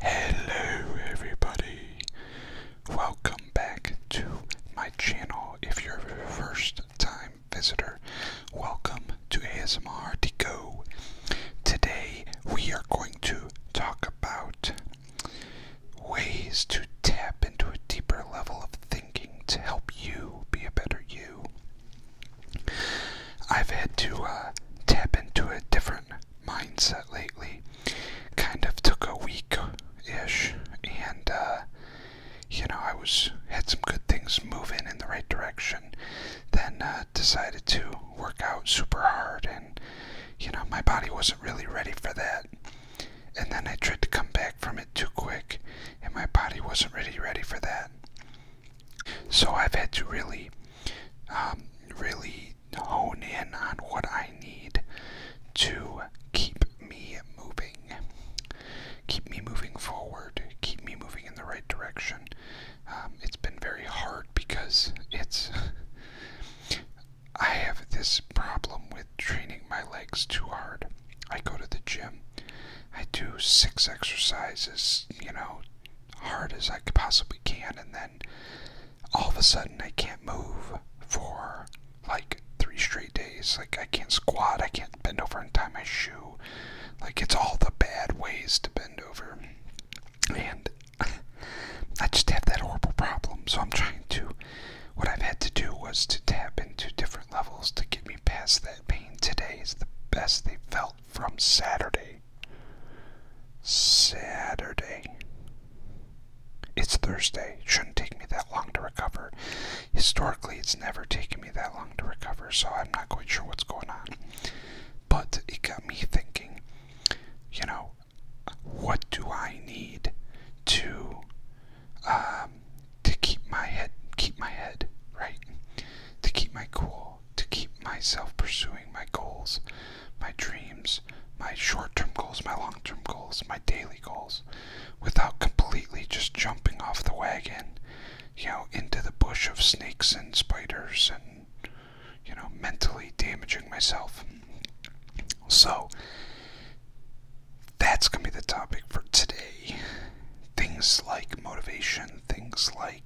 Hello, everybody. Welcome back to my channel. If you're a first time visitor, welcome to ASMR Deco. Today, we are going to talk about ways to tap into a deeper level of thinking to help you be a better you. I've had to uh, tap into a different mindset lately. Kind of took a week ish, and uh, you know I was had some good things moving in the right direction. Then uh, decided to work out super hard, and you know my body wasn't really ready for that. And then I tried to come back from it too quick, and my body wasn't really ready for that. So I've had to really, um, really hone in on what I need to keep me moving, keep me moving forward, keep me moving in the right direction. Um, it's been very hard because it's. I have this problem with training my legs too hard. I go to the gym, I do six exercises, you know, hard as I possibly can, and then all of a sudden I can't move for like three straight days. Like I can't squat, I can't bend over and tie my shoe. Like it's all the bad ways to bend over. And I just have that horrible problem. So I'm trying to what I've had to do was to tap into different levels to get me past that pain. Today is the best they've felt from Saturday. Saturday. It's Thursday. shouldn't take me that long to recover. Historically, it's never taken me that long to recover, so I'm not quite sure what's going on. But it got me thinking, you know, what do I need to um, to keep my head keep my head right to keep my cool to keep myself pursuing my goals, my dreams, my short term goals, my long term goals, my daily goals, without completely just jumping off the wagon, you know, into the bush of snakes and spiders and, you know, mentally damaging myself. So, that's going to be the topic for today. Things like motivation, things like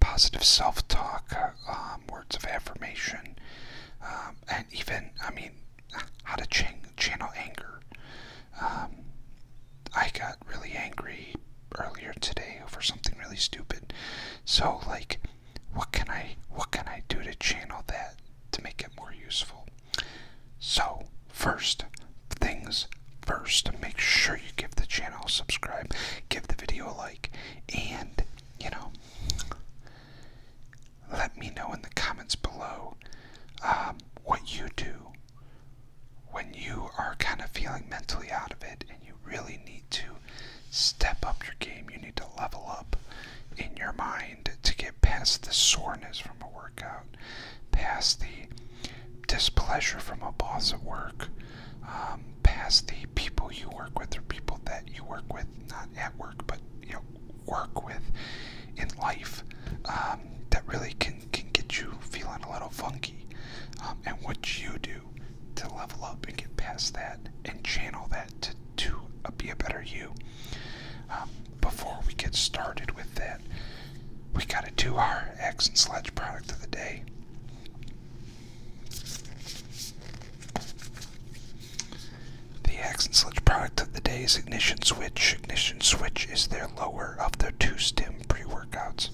positive self talk, uh, um, words of affirmation, um, and even, I mean, how to ch channel anger. Um, I got really angry earlier today over something really stupid. So, like, what can I what can I do to channel that to make it more useful? So, first things first, make sure you give the channel a subscribe, give the video a like and, you know, let me know in the comments below um, what you do when you are kind of feeling mentally out of it and you really need to step up your game. You need to level up in your mind to get past the soreness from a workout, past the displeasure from a boss at work, um, past the people you work with or people that you work with, not at work, but you know, work with in life um, that really can, can get you feeling a little funky. Um, and what you do to level up and get past that and channel that to, to be a better you. before we get started with that, we got to do our X and sledge product of the day. The Axe and Sledge product of the day is Ignition Switch. Ignition Switch is their lower of their two stem pre workouts.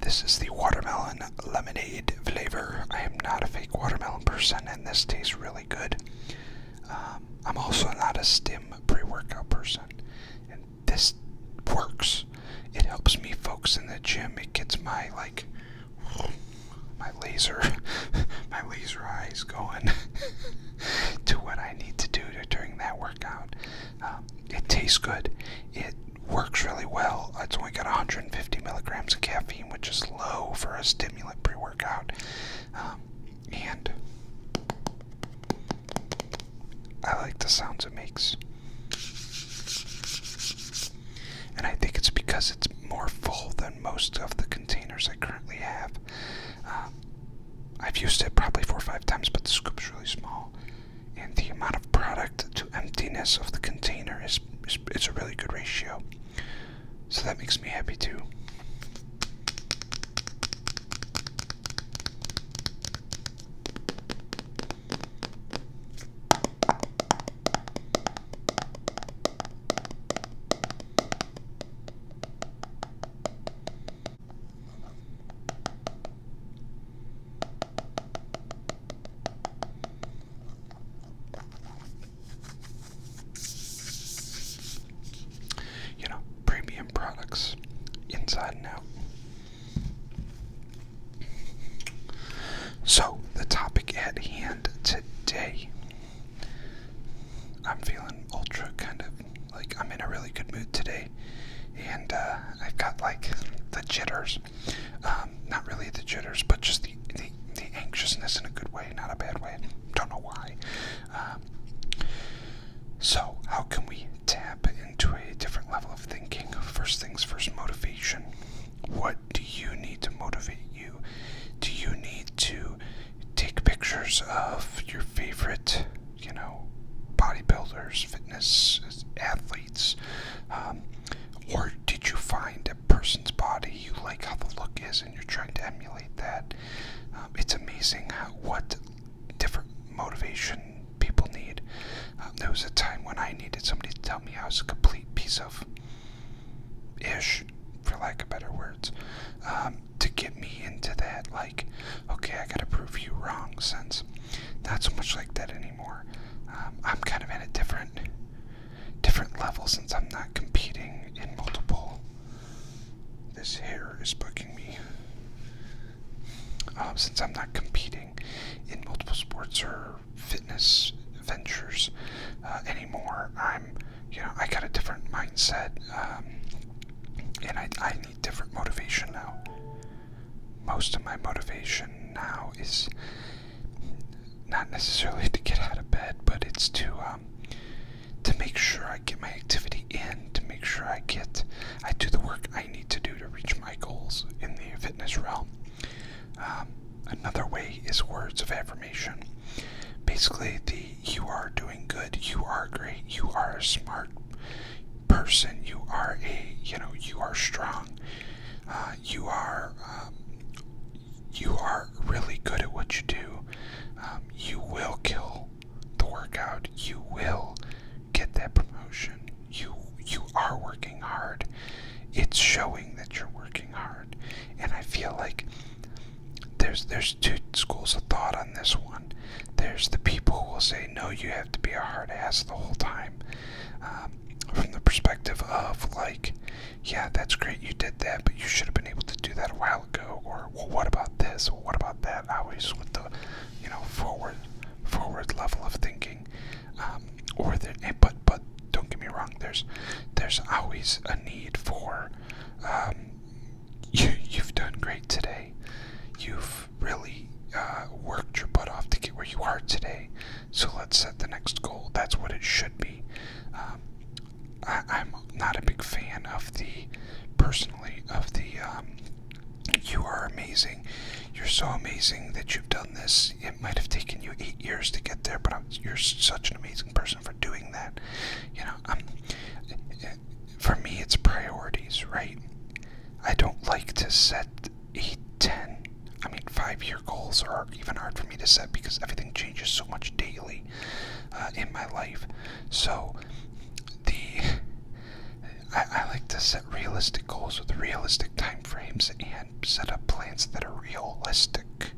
This is the watermelon lemonade flavor. I am not a fake watermelon person, and this tastes really good. Um, I'm also not a stem pre workout person, and this works. It helps me focus in the gym. It gets my like my laser my laser eyes going to what I need to do during that workout. Um, it tastes good. It works really well. It's only got 150 milligrams of caffeine, which is low for a stimulant pre-workout. Um, and I like the sounds it makes. And I think it's because it's more full than most of the containers I currently have. Um, I've used it probably four or five times, but the scoop's really small. And the amount of product to emptiness of the container is it's a really good ratio. So that makes me happy too. You know, premium products inside and out. So, the topic at hand today. I'm feeling ultra kind of like I'm in a really good mood today, and uh, I've got like the jitters. Um, not really the jitters, but just the, the, the anxiousness in a good way, not a bad way. Don't know why. Um, so, how can we tap to a different level of thinking. First things first, motivation. What do you need to motivate you? Do you need to take pictures of your favorite, you know, bodybuilders, fitness athletes? Um, or did you find a person's body you like how the look is and you're trying to emulate that? Um, it's amazing what different motivation people need. Um, there was a time when I needed somebody to tell me I was a complete piece of ish, for lack of better words, um, to get me into that, like, okay, I gotta prove you wrong Since Not so much like that anymore. Um, I'm kind of at a different different level since I'm not competing in multiple. This hair is bugging me. Um, since I'm not competing in multiple sports or fitness ventures uh, anymore, I'm, you know, I got a different mindset, um, and I, I need different motivation now. Most of my motivation now is not necessarily to get out of bed, but it's to um, to make sure I get my activity in, to make sure I get I do the work I need to do to reach my goals in the fitness realm. Um, another way is words of affirmation. Basically, the you are doing good, you are great, you are a smart person, you are a you know you are strong, uh, you are um, you are really good at what you do. Um, you will kill the workout. You will get that promotion. You you are working hard. It's showing that you're working hard. And I feel like there's there's two schools of thought on this one. There's the people who will say no, you have to be a hard ass the whole time. Um, from the perspective of like, yeah, that's great, you did that, but you should have been able to do that a while ago. Or well, what about this? Or what about that? Always with the, you know, forward, forward level of thinking. Um, or there, eh, but but don't get me wrong. There's there's always a need for um, you. You've done great today. You've really uh, worked your butt off to get where you are today. So let's set the next goal. That's what it should be. Um, I, am not a big fan of the personally of the you are amazing. You're so amazing that you've done this. It might have taken you eight years to get there, but you're such an amazing person for doing that. You know, for me, it's priorities, right? I don't like to set eight, ten, I mean, five year goals are even hard for me to set because everything changes so much daily uh, in my life. So, the I, like to set realistic goals with realistic time frames and set up plans that are realistic.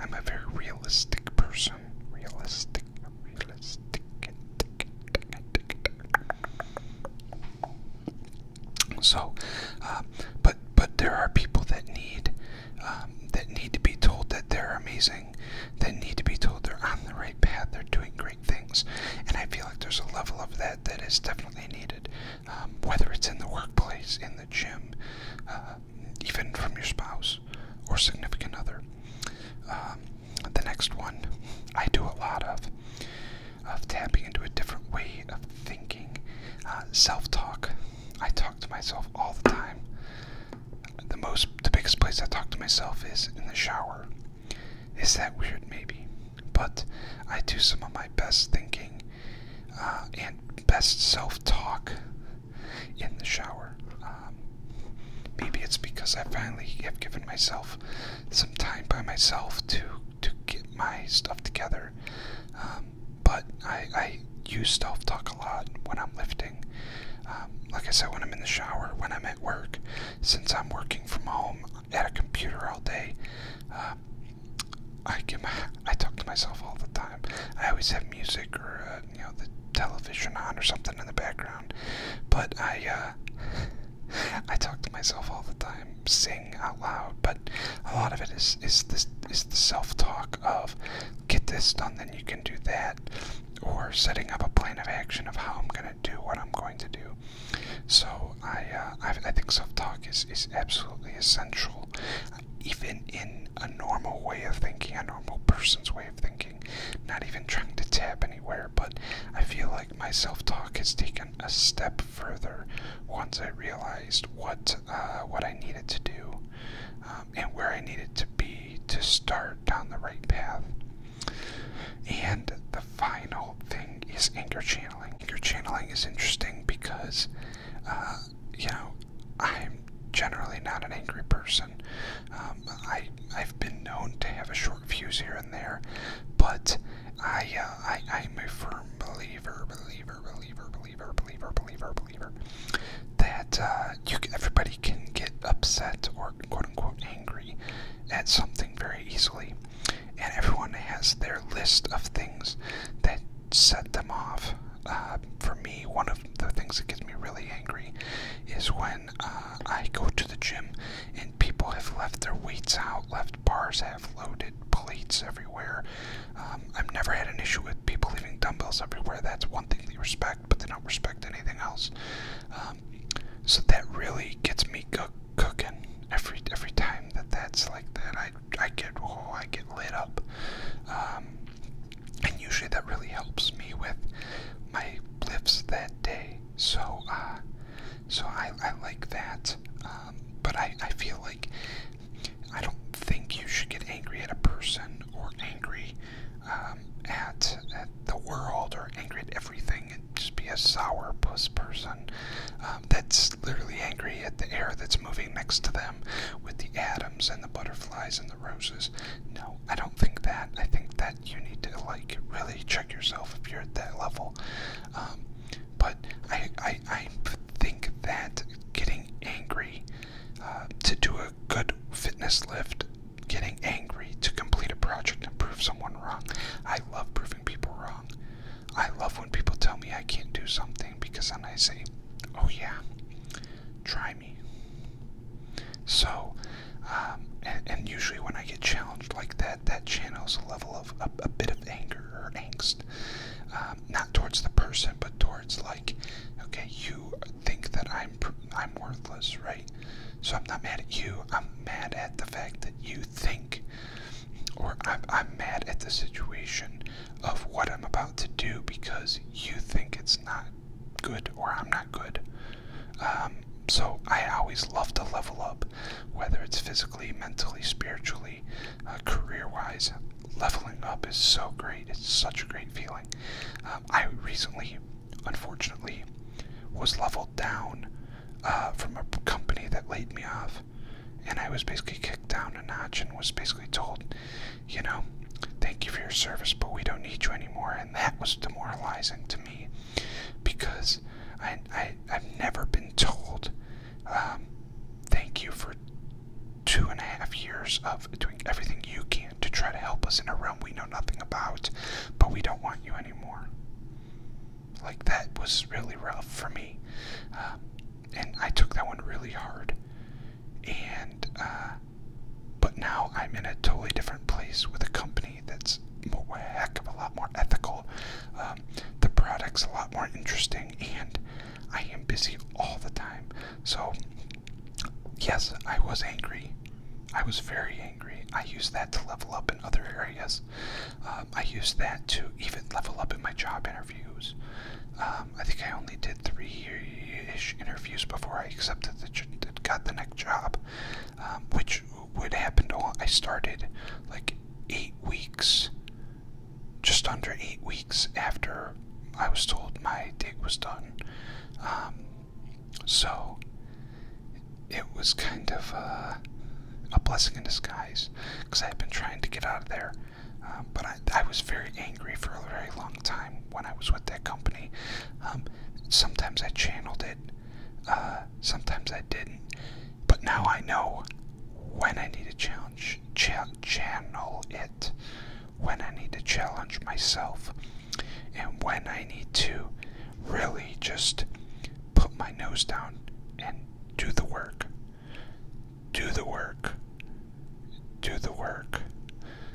I'm a very realistic person. Realistic, realistic. So, uh, but but there are people that need um, that need to be told that they're amazing, that need to be told they're on the right path, they're doing great things. And I feel like there's a level of that that is definitely needed, um, whether it's in the workplace, in the gym, uh, even from your spouse or significant other. Um, the next one I do a lot of, of tapping into a different way of thinking, uh, self-talk. I talk to myself all the time. The most, the biggest place I talk to myself is in the shower. Is that weird? Maybe. But I do some of my best thinking uh, and best self talk in the shower. Um, maybe it's because I finally have given myself some time by myself to, to get my stuff together. Um, but I, use self talk a lot when I'm lifting. Um, like I said, when I'm in the shower, when I'm at work, since I'm working from home, at a computer all day. Uh, I get my, I talk to myself all the time. I always have music or uh, you know the television on or something in the background. But I uh, I talk to myself all the time, sing out loud. But a lot of it is is this is the self talk of get this done, then you can do that, or setting up a plan of action of how I'm gonna do what I'm going to do. So uh, I, I, think self-talk is is absolutely essential, even in a normal way of thinking, a normal person's way of thinking. Not even trying to tap anywhere, but I feel like my self-talk has taken a step further once I realized what uh, what I needed to do um, and where I needed to be to start down the right path. And the final thing is anger channeling. Anchor channeling is interesting because, uh, you know, I'm generally not an angry person. Um, I I've been known to have a short fuse here and there, but I uh, I I'm a firm believer, believer, believer, believer, believer, believer, believer that uh, you everybody can get upset or quote unquote angry at something very easily and everyone has their list of things that set them off. Uh, for me, one of the things that gets me really angry is when uh, I go to the gym and people have left their weights out, left bars have loaded, plates everywhere. Um, I've never had an issue with people leaving dumbbells everywhere. That's one thing they respect, but they don't respect anything else. Um, so that really gets me cooking every every time that that's like that. I I get oh I get lit up, um, and usually that really helps me with my lifts that day. So uh, so I I like that. Um, but I I feel like I don't think you should get angry at a person or angry um, at at the world or angry at everything just be a sour puss person um, that's literally angry at the air that's moving next to them with the atoms and the butterflies and the roses. No, I don't think that. I think that you need to like really check yourself if you're at that level. Um, but I, I, I think that getting angry uh, to do a good fitness lift, getting angry to complete a project and prove someone wrong. I love proving proving people wrong. I love when people tell me I can't do something because then I say, oh yeah, try me. So, um, and, and usually when I get challenged like that, that channels a level of a, a bit of anger or angst. Um, not towards the person, but towards like, okay, you think that I'm, I'm worthless, right? So I'm not mad at you. I'm mad at the fact that you think, or I'm, I'm mad at the situation of what I'm about to do because you think it's not good or I'm not good. Um, so I always love to level up, whether it's physically, mentally, spiritually, uh, career-wise. Leveling up is so great. It's such a great feeling. Um, I recently, unfortunately, was leveled down uh, from a company that laid me off. And I was basically kicked down a notch and was basically told, you know, thank you for your service, but we don't need you anymore. And that was demoralizing to me because I, I, have never been told, um, thank you for two and a half years of doing everything you can to try to help us in a realm we know nothing about, but we don't want you anymore like that was really rough for me um, and i took that one really hard and uh, but now i'm in a totally different place with a company that's a heck of a lot more ethical um, the product's a lot more interesting and i am busy all the time so yes i was angry i was very angry i used that to level up in other areas um, I used that to even level up in my job interviews. Um, I think I only did three-ish interviews before I accepted that got the next job, um, which would happen to I started like eight weeks, just under eight weeks after I was told my dig was done. so it was kind of uh, a blessing in disguise because I had been trying to get out of there. Um, but I, was very angry for a very long time when I was with that company. Um, sometimes I channeled it, uh, sometimes I didn't. But now I know when I need to challenge, channel it, when I need to challenge myself, and when I need to really just put my nose down and do the work. Do the work. Do the work.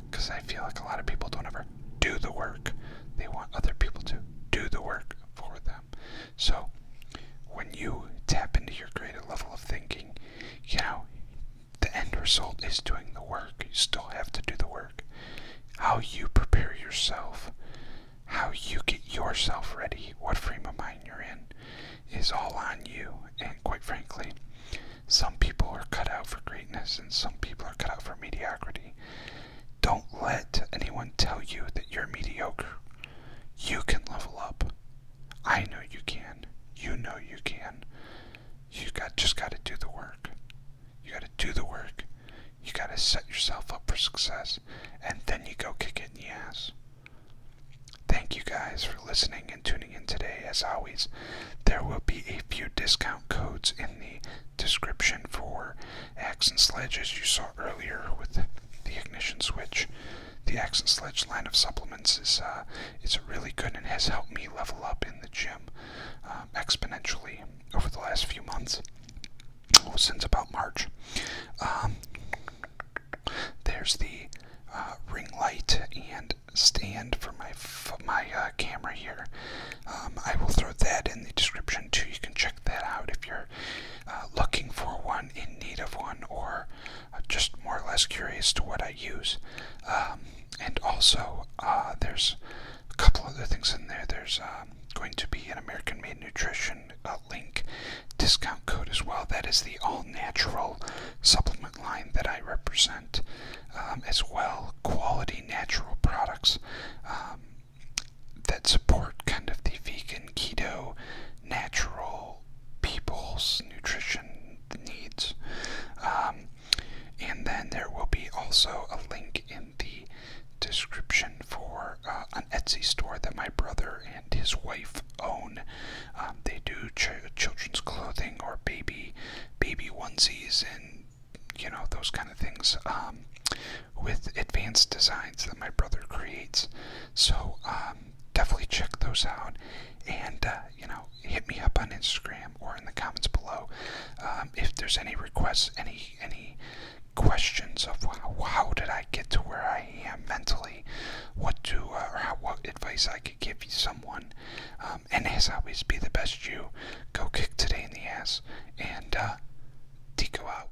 Because I feel like a lot of people don't ever do the work. They want other people to do the work for them. So when you tap into your greater level of thinking, you know, the end result is doing the work. You still have to do the work. How you prepare yourself how you get yourself ready, what frame of mind you're in, is all on you. And quite frankly, some people are cut out for greatness and some people are cut out for mediocrity. Don't let anyone tell you that you're mediocre. You can level up. I know you can. You know you can. You got just got to do the work. You got to do the work. You got to set yourself up for success, and then you go kick it in the ass. Thank you guys for listening and tuning in today. As always, there will be a few discount codes in the description for axe and sledge, as you saw earlier with the ignition switch. The axe and sledge line of supplements is uh, is really good and has helped me level up in the gym um, exponentially over the last few months. Oh, since about March. Um, there's the uh, ring light and stand for my my uh, camera here. Um, I will throw that in the description too. You can check that out if you're uh, looking for one, in need of one, or just more or less curious to what I use. Um, and also, there's a couple other things in there. There's going to be an American Made Nutrition uh, link discount code as well. That is the all natural supplement line that I represent, um, as well quality natural products um, that support kind of the vegan, keto, natural people's nutrition needs. Um, and then there will be also a link in the description for uh, an Etsy store that my brother and his wife own. Um, they do children's clothing or baby baby onesies and you know those kind of things um, with advanced designs that my brother creates. So um, definitely check those out and uh, you know hit me up on Instagram or in the comments below if there's any requests, any any questions of how, did I get to where I am mentally, what do uh, or how, what advice I could give someone, um, and as always, be the best you. Go kick today in the ass, and uh, Tico out.